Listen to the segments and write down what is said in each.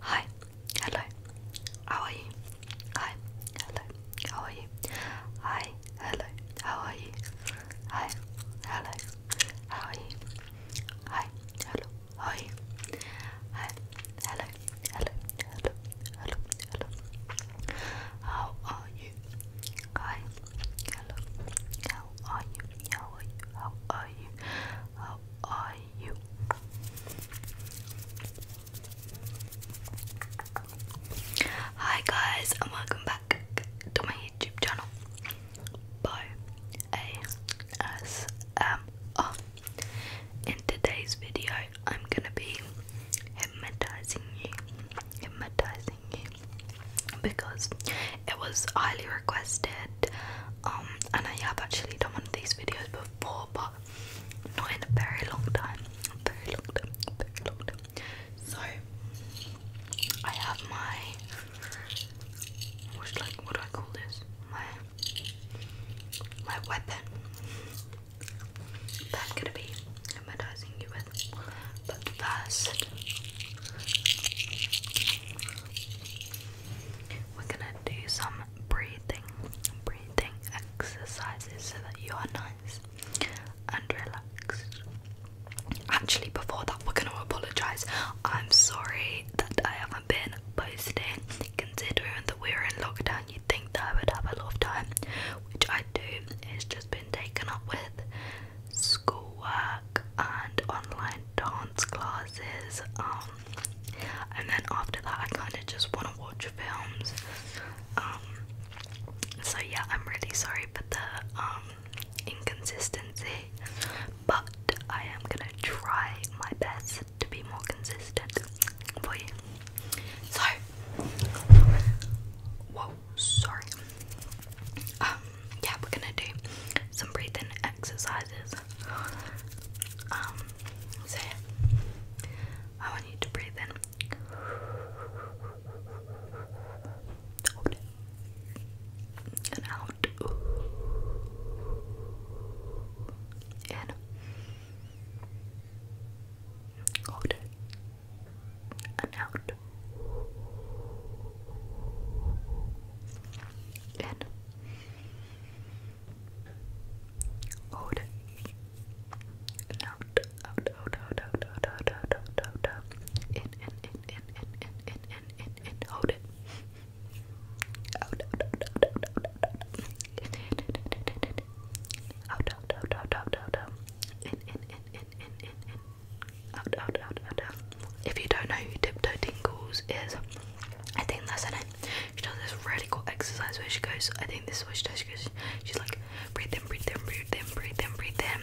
Hi, hello, how are you? Hi, hello, how are you? Hi, hello, how are you? Hi, hello, how are you? Hi, hello, hi, hi, hello, hello, hello, hello, hello. How are you? Hi, hello. How are you? How are you? How are you? How are you? Hi guys and welcome back to my YouTube channel by ASMR. In today's video, I'm gonna be hypnotizing you, hypnotizing you, because it was highly requested. Um, and I have actually done one of these videos before, but not in a very long time, very long time, very long time. So I have my what's like what do I call this? My my weapon that gonna be hypnotizing you with. But first we're gonna do some breathing breathing exercises so that you are nice and relaxed Actually, before that, we're gonna apologize. I'm sorry that I haven't been posting, considering that we're in lockdown. You'd think that I would have a lot of time, which I do. It's just been taken up with schoolwork and online dance classes. Um, and then after that, I kind of just want to watch films. Um, so yeah, I'm really sorry for the um inconsistency, but I am gonna try my best to be more consistent for you. So, whoa, sorry. Um, yeah, we're gonna do some breathing exercises. Um, so I want you to breathe in and out. In. out. In. out. Out, out, out, out, out, out, out, out, In, in, in, in, in, in, in, in, in, in, hold it. Out, out, out, out, out, out, out, out. In, in, in, in, in, in, in. Out, out, out, out, out, out, out. In, in, in, in, in, in, in. Out, out, out, out, out. If you don't know who Dipto Tingles is, I think that's in it. She does this really cool exercise where she goes, I think this is what she does, she goes, she's like, breathe in, breathe in, breathe in, breathe in, breathe in,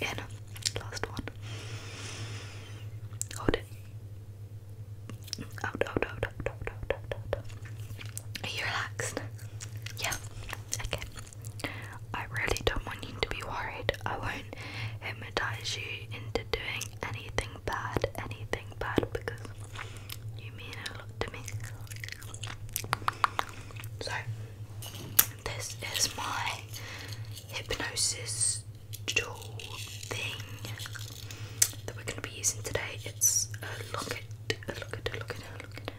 And last one. Hold it. Out, out, out, out, out, out, out, out. Are you relaxed? Yeah. Okay. I really don't want you to be worried. I won't hypnotize you into doing anything bad, anything bad, because you mean a lot to me. So, this is my hypnosis tool thing that we're going to be using today. It's a locket, a locket, a locket, a locket.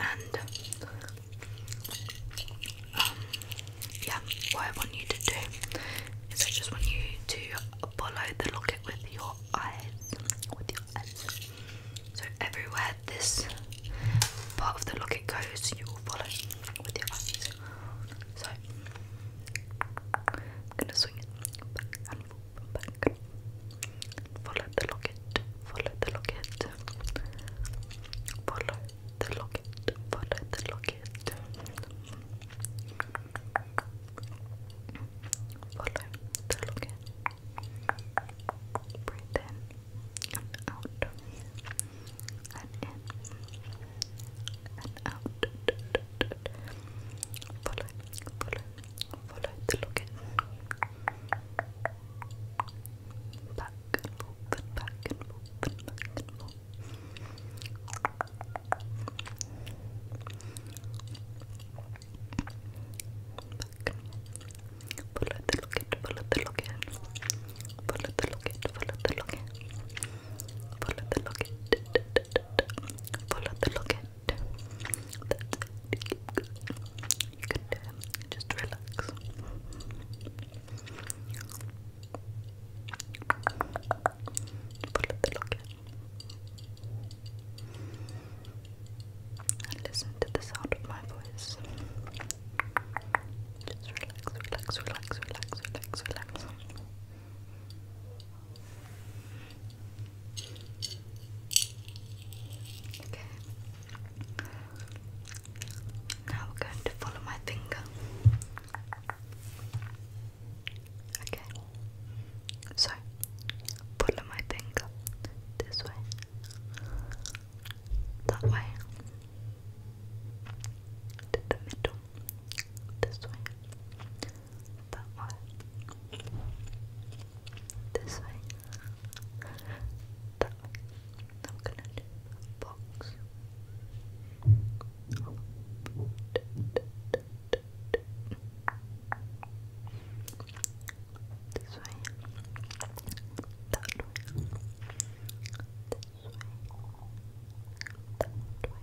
And, um, yeah, what I want you to do is I just want you to follow the locket with your eyes. With your us. So everywhere this part of the locket goes, you will follow with your eyes. So I'm gonna swing it back and back. Follow the locket, follow the locket, follow the locket, follow the locket, follow the locket. Breathe in and out. And in and out. Follow, follow, follow the look back and forth, back and forth, back and forth Pull out the locket, pull out the locket. Pull out the locket, pull out the locket. Pull out the locket. Pull out the locket. That's it. You can um, just relax. Pull out the locket. Pull and listen to the sound of my voice. Just relax, relax, relax, relax, relax, relax. Okay. Now we're going to follow my finger. Okay. So, pull my finger this way, that way, to the middle, this way, that way, this way, that way. I'm gonna do a box. This way. That way. This way. That way.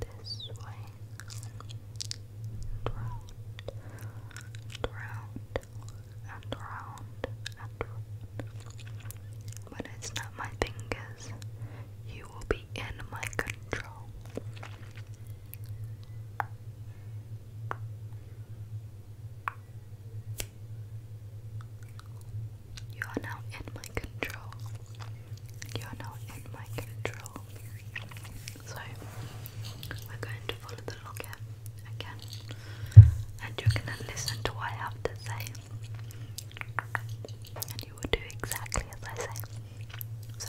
This way. round. round. And round. And round. When I my fingers, you will be in my control. You are now in my control. You are now in my control. So we're going to follow the log again, and you're going to listen to what I have to say, and you will do exactly as I say. So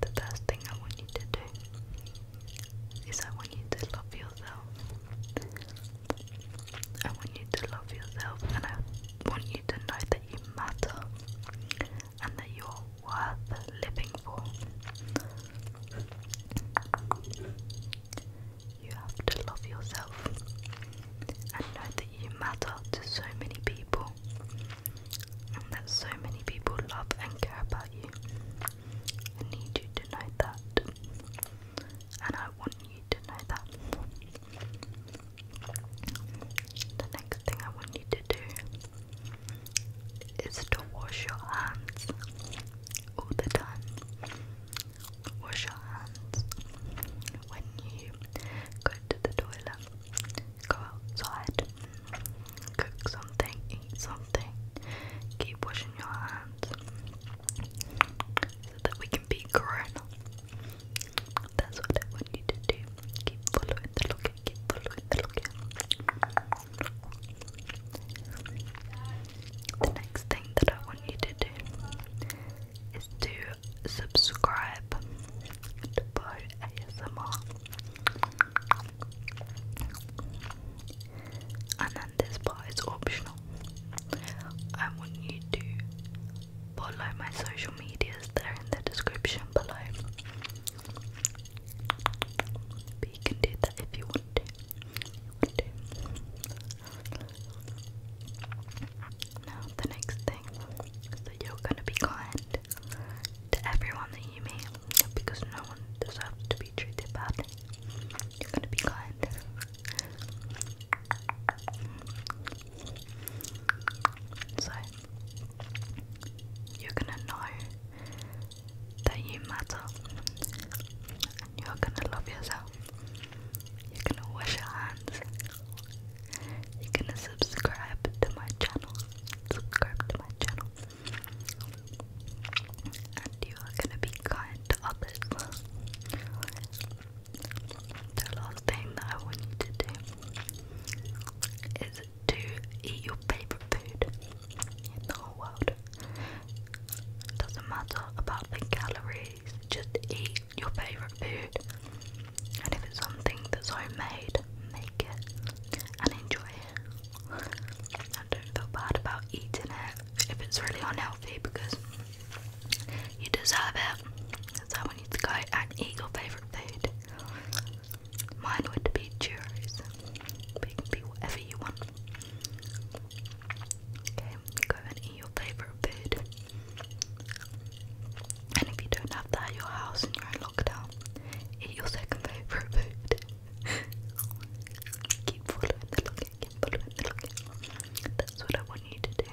the first thing I want you to do is I want you to love yourself. I want you to love yourself and I want you to know that you matter and that you are worth living for. You have to love yourself and know that you matter to so many people that so many people love and care about you. I need you to know that, and I want you to know that. The next thing I want you to do is to wash your hands all the time. Wash your hands when you go to the toilet, go outside, cook something, eat something, keep washing your hands so that we can beat Corona. That's what I want to do. Keep following the login, keep following the login. The next thing that I want you to do is to subscribe to Bo ASMR. And then this part is optional. I want you to follow my social medias, they're in the description below. you can do that if You want to. Now, the next thing is that you're going to be kind to everyone that you meet because no one deserves to be treated badly. You're gonna be kind. So, you're gonna know that you matter and you're gonna love yourself. You're gonna wash your hands you can subscribe to my channel. Subscribe to my channel. And you are gonna be kind to others. The last thing that I want you to do is to eat your favourite food in the whole world. Doesn't matter about the calories, just eat your favourite food. And if it's something that's homemade, make it and enjoy it. And don't feel bad about eating it if it's really unhealthy because you deserve it. That's how we need to go and eat your favourite food. Mine would be churros, but it can be whatever you want. Okay, go and eat your favourite food. And if you don't have that at your house and you're in lockdown, eat your second favourite food. keep following the login, keep following the login. That's what I want you to do.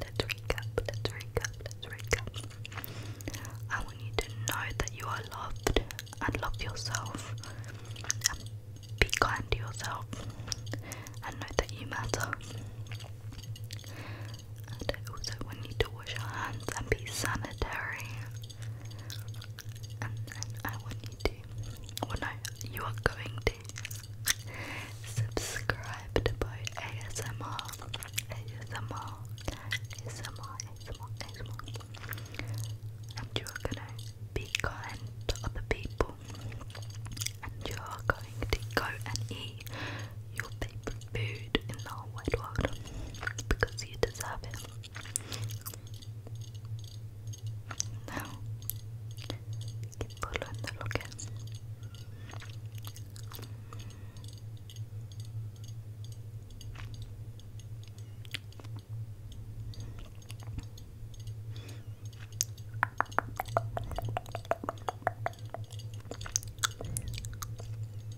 Let's recap, let's recap, let's recap. I want you to know that you are loved and love yourself and be kind to yourself and know that you matter. And I also want you to wash your hands and be sanitary. And then I want you to, well no, you are going to subscribe to both ASMR, ASMR, ASMR, ASMR. And you are gonna be kind to other people. And you are going to go and eat your favorite food food in the whole wide because you deserve it. Now, keep following the rocket.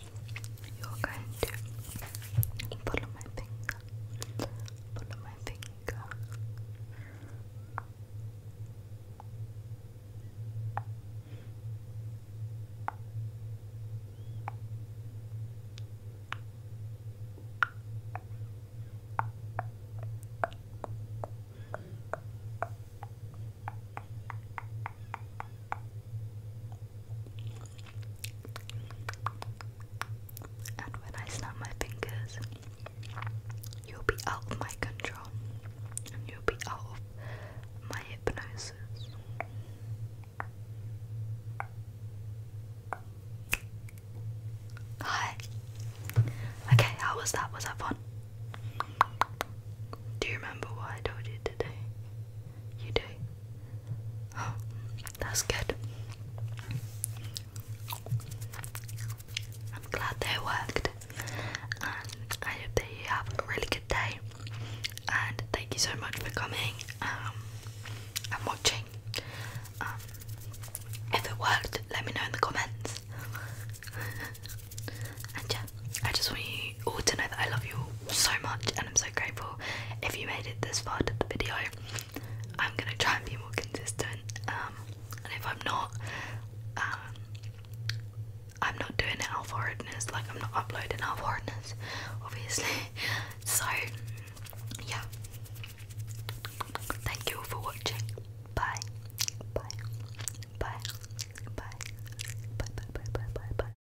you're going to follow my finger, follow my finger. And when I snap my fingers, you'll be out of my control and you'll be out of my hypnosis. Hi. Okay, how was that? Was that fun? Do you remember what I told you today? You do? Oh, that's good. I'm glad they worked, and I hope that you have a really good day. And thank you so much for coming um, and watching. Um, if it worked, let me know in the comments. and yeah, I just want you all to know that I love you all so much and I'm so grateful if you made it this far to the video. I'm gonna try and be more consistent, um, and if I'm not, um, I'm not doing it half hardness, like I'm not uploading half hardness, obviously. So, yeah. Thank you all for watching. Bye. Bye. Bye. Bye. Bye. Bye. Bye. Bye. Bye. Bye.